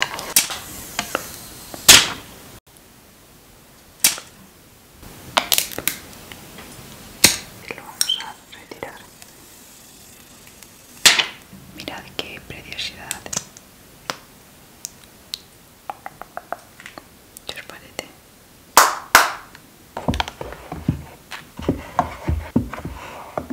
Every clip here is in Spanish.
Lo vamos a retirar. Mirad qué preciosidad. ¿Qué os parece?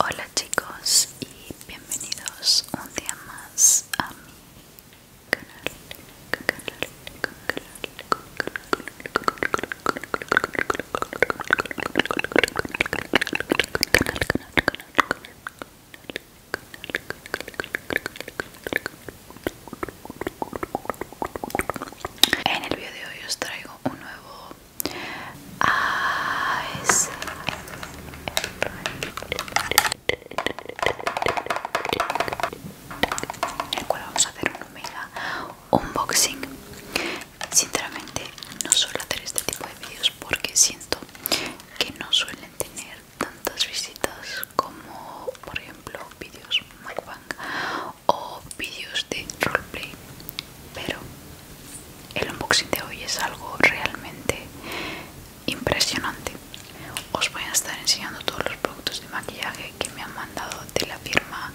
Hola chicos y bienvenidos un día más a mi canal, en el video de hoy os traigo un nuevo en el cual vamos a hacer un mega unboxing sinceramente no suelo hacer este tipo de vídeos porque siento que no suelen tener tantas visitas como por ejemplo vídeos mukbang o vídeos de roleplay pero el unboxing de hoy es algo realmente impresionante os voy a estar enseñando todos los productos de maquillaje que me han mandado de la firma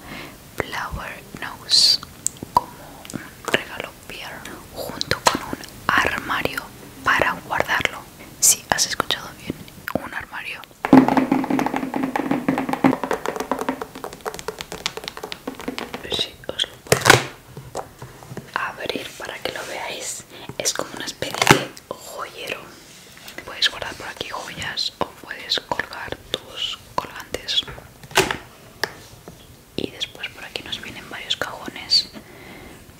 Flower Nose como un regalo Pierre junto con un armario para guardarlo si has escuchado bien un armario Sí, os lo puedo abrir para que lo veáis. Es como una especie de joyero. Puedes guardar por aquí joyas o puedes colgar tus colgantes. Y después por aquí nos vienen varios cajones,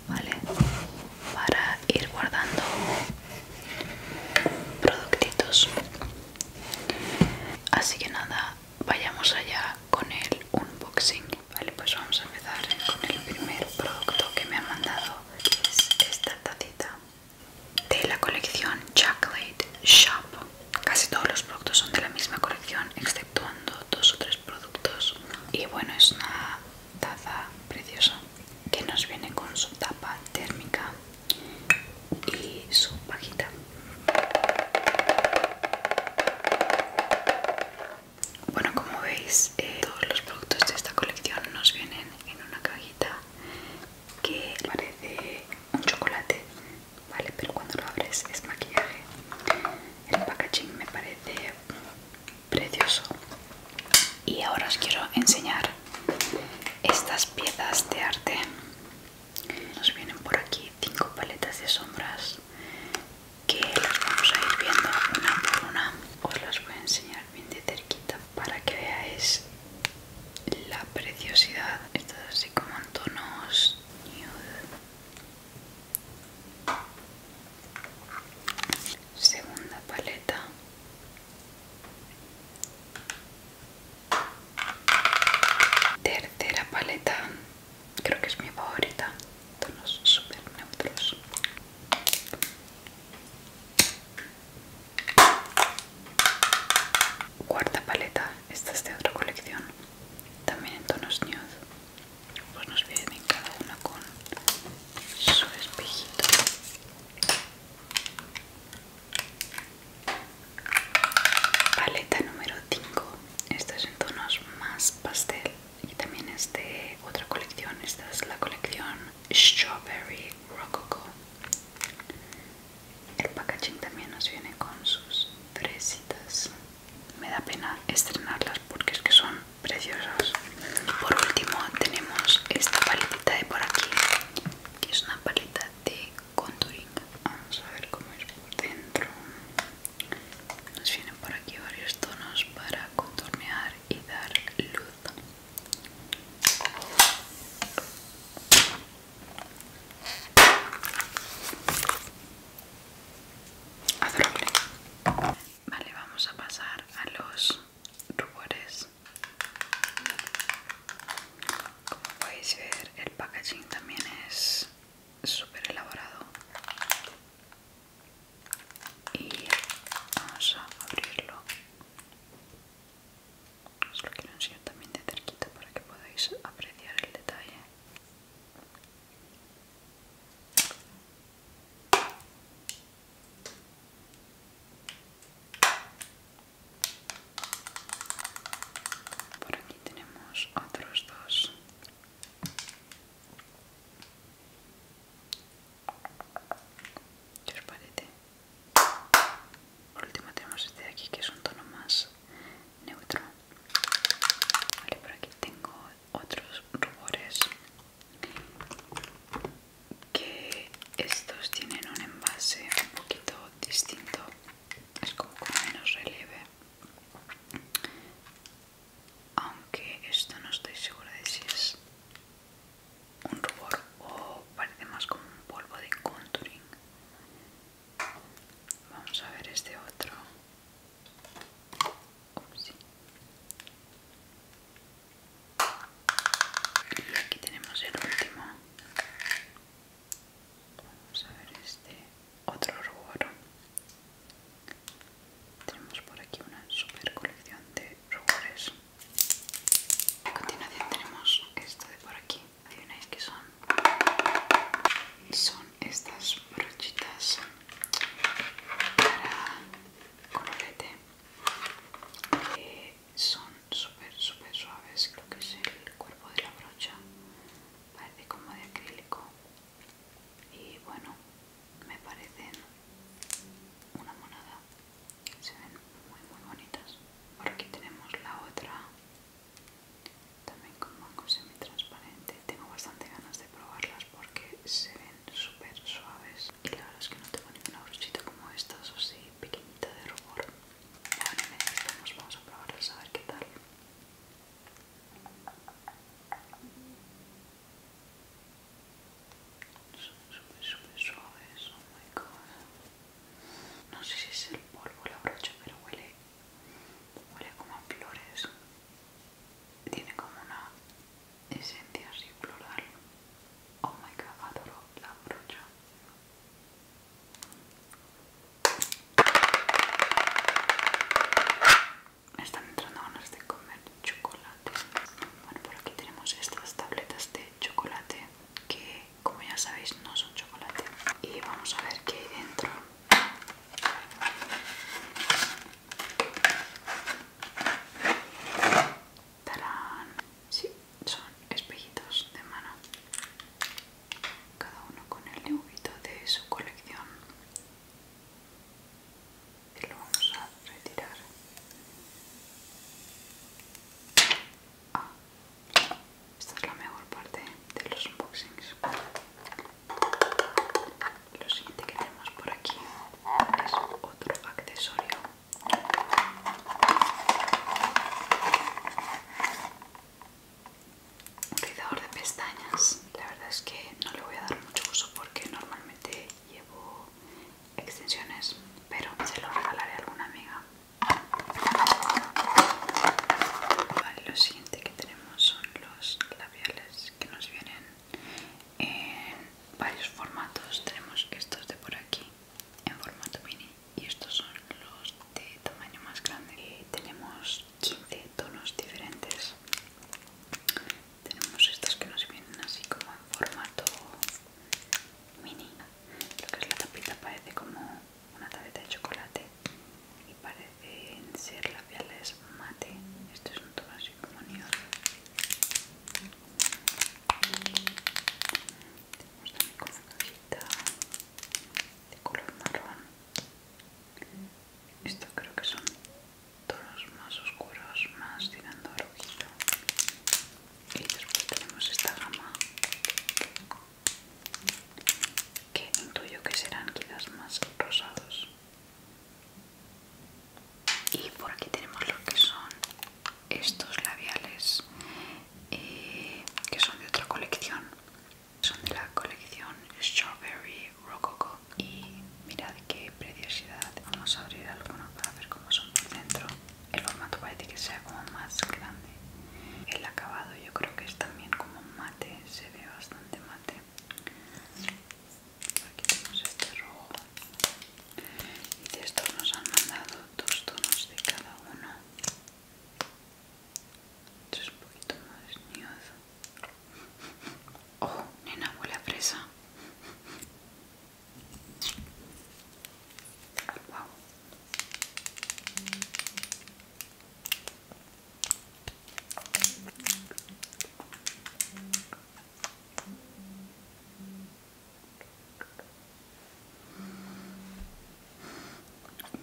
¿vale? Para ir guardando productitos Así que nada, vayamos allá con el unboxing. Vale, pues vamos a empezar con el primer producto que me han mandado, es esta tacita de la colección Chocolate Shop. Casi todos los productos son de la misma colección, exceptuando dos o tres productos. Y bueno, es una taza preciosa que nos viene con su tapa térmica y su cajita bueno como veis eh, todos los productos de esta colección nos vienen en una cajita que parece un chocolate vale pero cuando lo abres es maquillaje el packaging me parece precioso y ahora os quiero enseñar estas piezas de arte nos vienen por aquí cinco paletas de sombras que las vamos a ir viendo una por una os las voy a enseñar bien de cerquita para que veáis la preciosidad esto así como en tonos nude segunda paleta Tercera paleta, creo que es mi favorita, tonos super neutros. Cuarta paleta, esta es de otra colección, también en tonos nude. Pues nos vienen cada una con su espejito. Paleta número 5. Esta es en tonos más pastel y también es de otra colección. Esta es la colección Strawberry Rococo. El packaging también nos viene con sus citas. Me da pena estrenarlas porque es que son preciosas por último tenemos esta paletita de por aquí que es una paleta de contouring vamos a ver cómo es por dentro nos vienen por aquí varios tonos para contornear y dar luz Adorable. Vale, vamos a pasar a los rubores como podéis ver el packaging también es súper elaborado y vamos a abrirlo os lo quiero enseñar también de cerquita para que podáis apreciar el detalle por aquí tenemos otros dos. parece? Por último tenemos este de aquí que es un tono más neutro. Vale, por aquí tengo otros rubores que estos tienen un envase un poquito distinto es como con menos relieve aunque esto no estoy segura de si es un rubor o parece más como un polvo de contouring vamos a ver este otro y aquí tenemos el último. Vamos a ver este otro rubor. Tenemos por aquí una super colección de rubores. A continuación tenemos esto de por aquí. ¿Adivináis que son? Son estas brochitas para colorete que eh, son súper súper suaves creo que es el cuerpo de la brocha parece como de acrílico y bueno me parecen una monada se ven muy muy bonitas por aquí tenemos la otra también con mango semi transparente tengo bastante ganas de probarlas porque se ven súper suaves y la verdad es que no tengo ninguna brochita como estas o así pequeñita de rubor bueno vamos, vamos a probarlas a ver qué tal son súper súper suaves oh my god no sé si es el polvo la brocha pero huele huele como a flores tiene como una esencia así floral. Oh my god, adoro la brocha. Me están entrando ganas de comer chocolate. Bueno, por aquí tenemos estas tabletas de chocolate que, como ya sabéis, no son chocolate. Y vamos a ver qué hay dentro. Tarán. Sí, son espejitos de mano. Cada uno con el dibujito de su colección. Y lo vamos a retirar. Ah, esta es la mejor parte de los unboxings. Lo siguiente que tenemos por aquí es otro accesorio. Un rizador de pestañas. La verdad es que no le voy a dar mucho uso porque normalmente llevo extensiones, pero se lo regalaré a alguna amiga. lo siguiente que tenemos son los labiales que nos vienen en varios formatos. Tenemos estos de por aquí en formato mini y estos son los de tamaño más grande. Eh, tenemos 15 tonos diferentes. Tenemos estos que nos vienen así como en formato mini. Lo que es la tapita parece como una tableta de chocolate y parece en ser labiales mate. Esto es un tono así como neón. Tenemos también con una cajita de color marrón. Esto creo que son tonos más oscuros, más tirando a rojito. Y después tenemos esta gama que intuyo que serán quizás más rosados y por aquí tenemos lo que son estos labiales eh, que son de otra colección son de la colección Strawberry Rococo y mirad qué preciosidad vamos a abrir algunos para ver cómo son por dentro el formato parece que sea como más grande el acabado yo creo que es también como mate se ve bastante mate Aquí tenemos este rojo. Y de estos nos han mandado dos tonos de cada uno. Esto es un poquito más nude. Oh, nena, huele a fresa.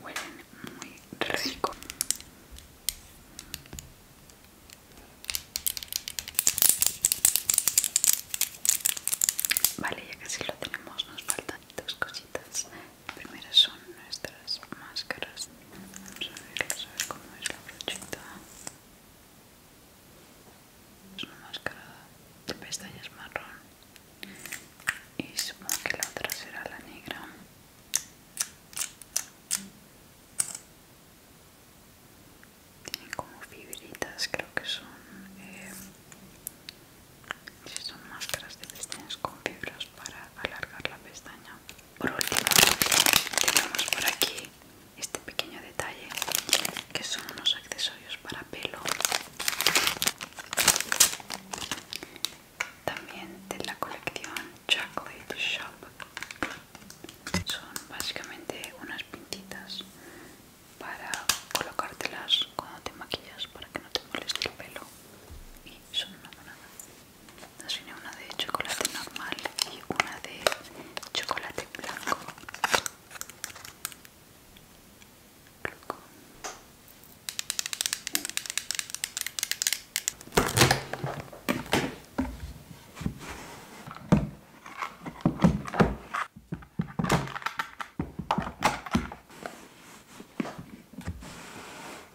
Huelen muy rico. Vale, ya casi lo tenemos, nos faltan dos cositas primeras son nuestras máscaras vamos a a ver cómo es la brochita es una máscara de pestañas marrón y supongo que la otra será la negra tiene como fibritas creo que son eh, si son máscaras de pestañas con fibras para alargar la pestaña por último tenemos por aquí este pequeño detalle que son unos accesorios para pelo también de la colección Chocolate Shop son básicamente unas pintitas para colocártelas cuando te maquillas para que no te moleste el pelo y son una monada viene una de chocolate normal y una de chocolate blanco.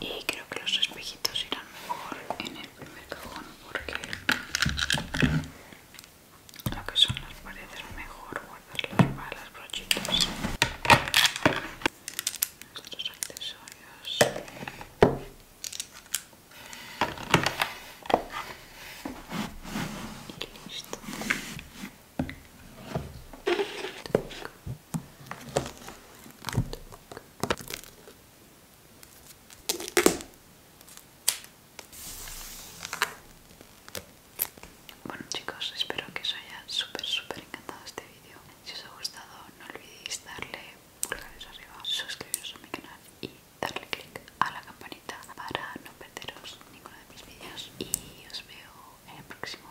y creo que los espejitos irán mejor en el primer cajón porque lo que son las paredes mejor guardarlas para las brochitas nuestros accesorios y listo bueno chicos, espero que os haya súper súper encantado este vídeo. Si os ha gustado no olvidéis darle pulgares arriba, suscribiros a mi canal y darle click a la campanita para no perderos ninguno de mis vídeos. Y os veo en el próximo.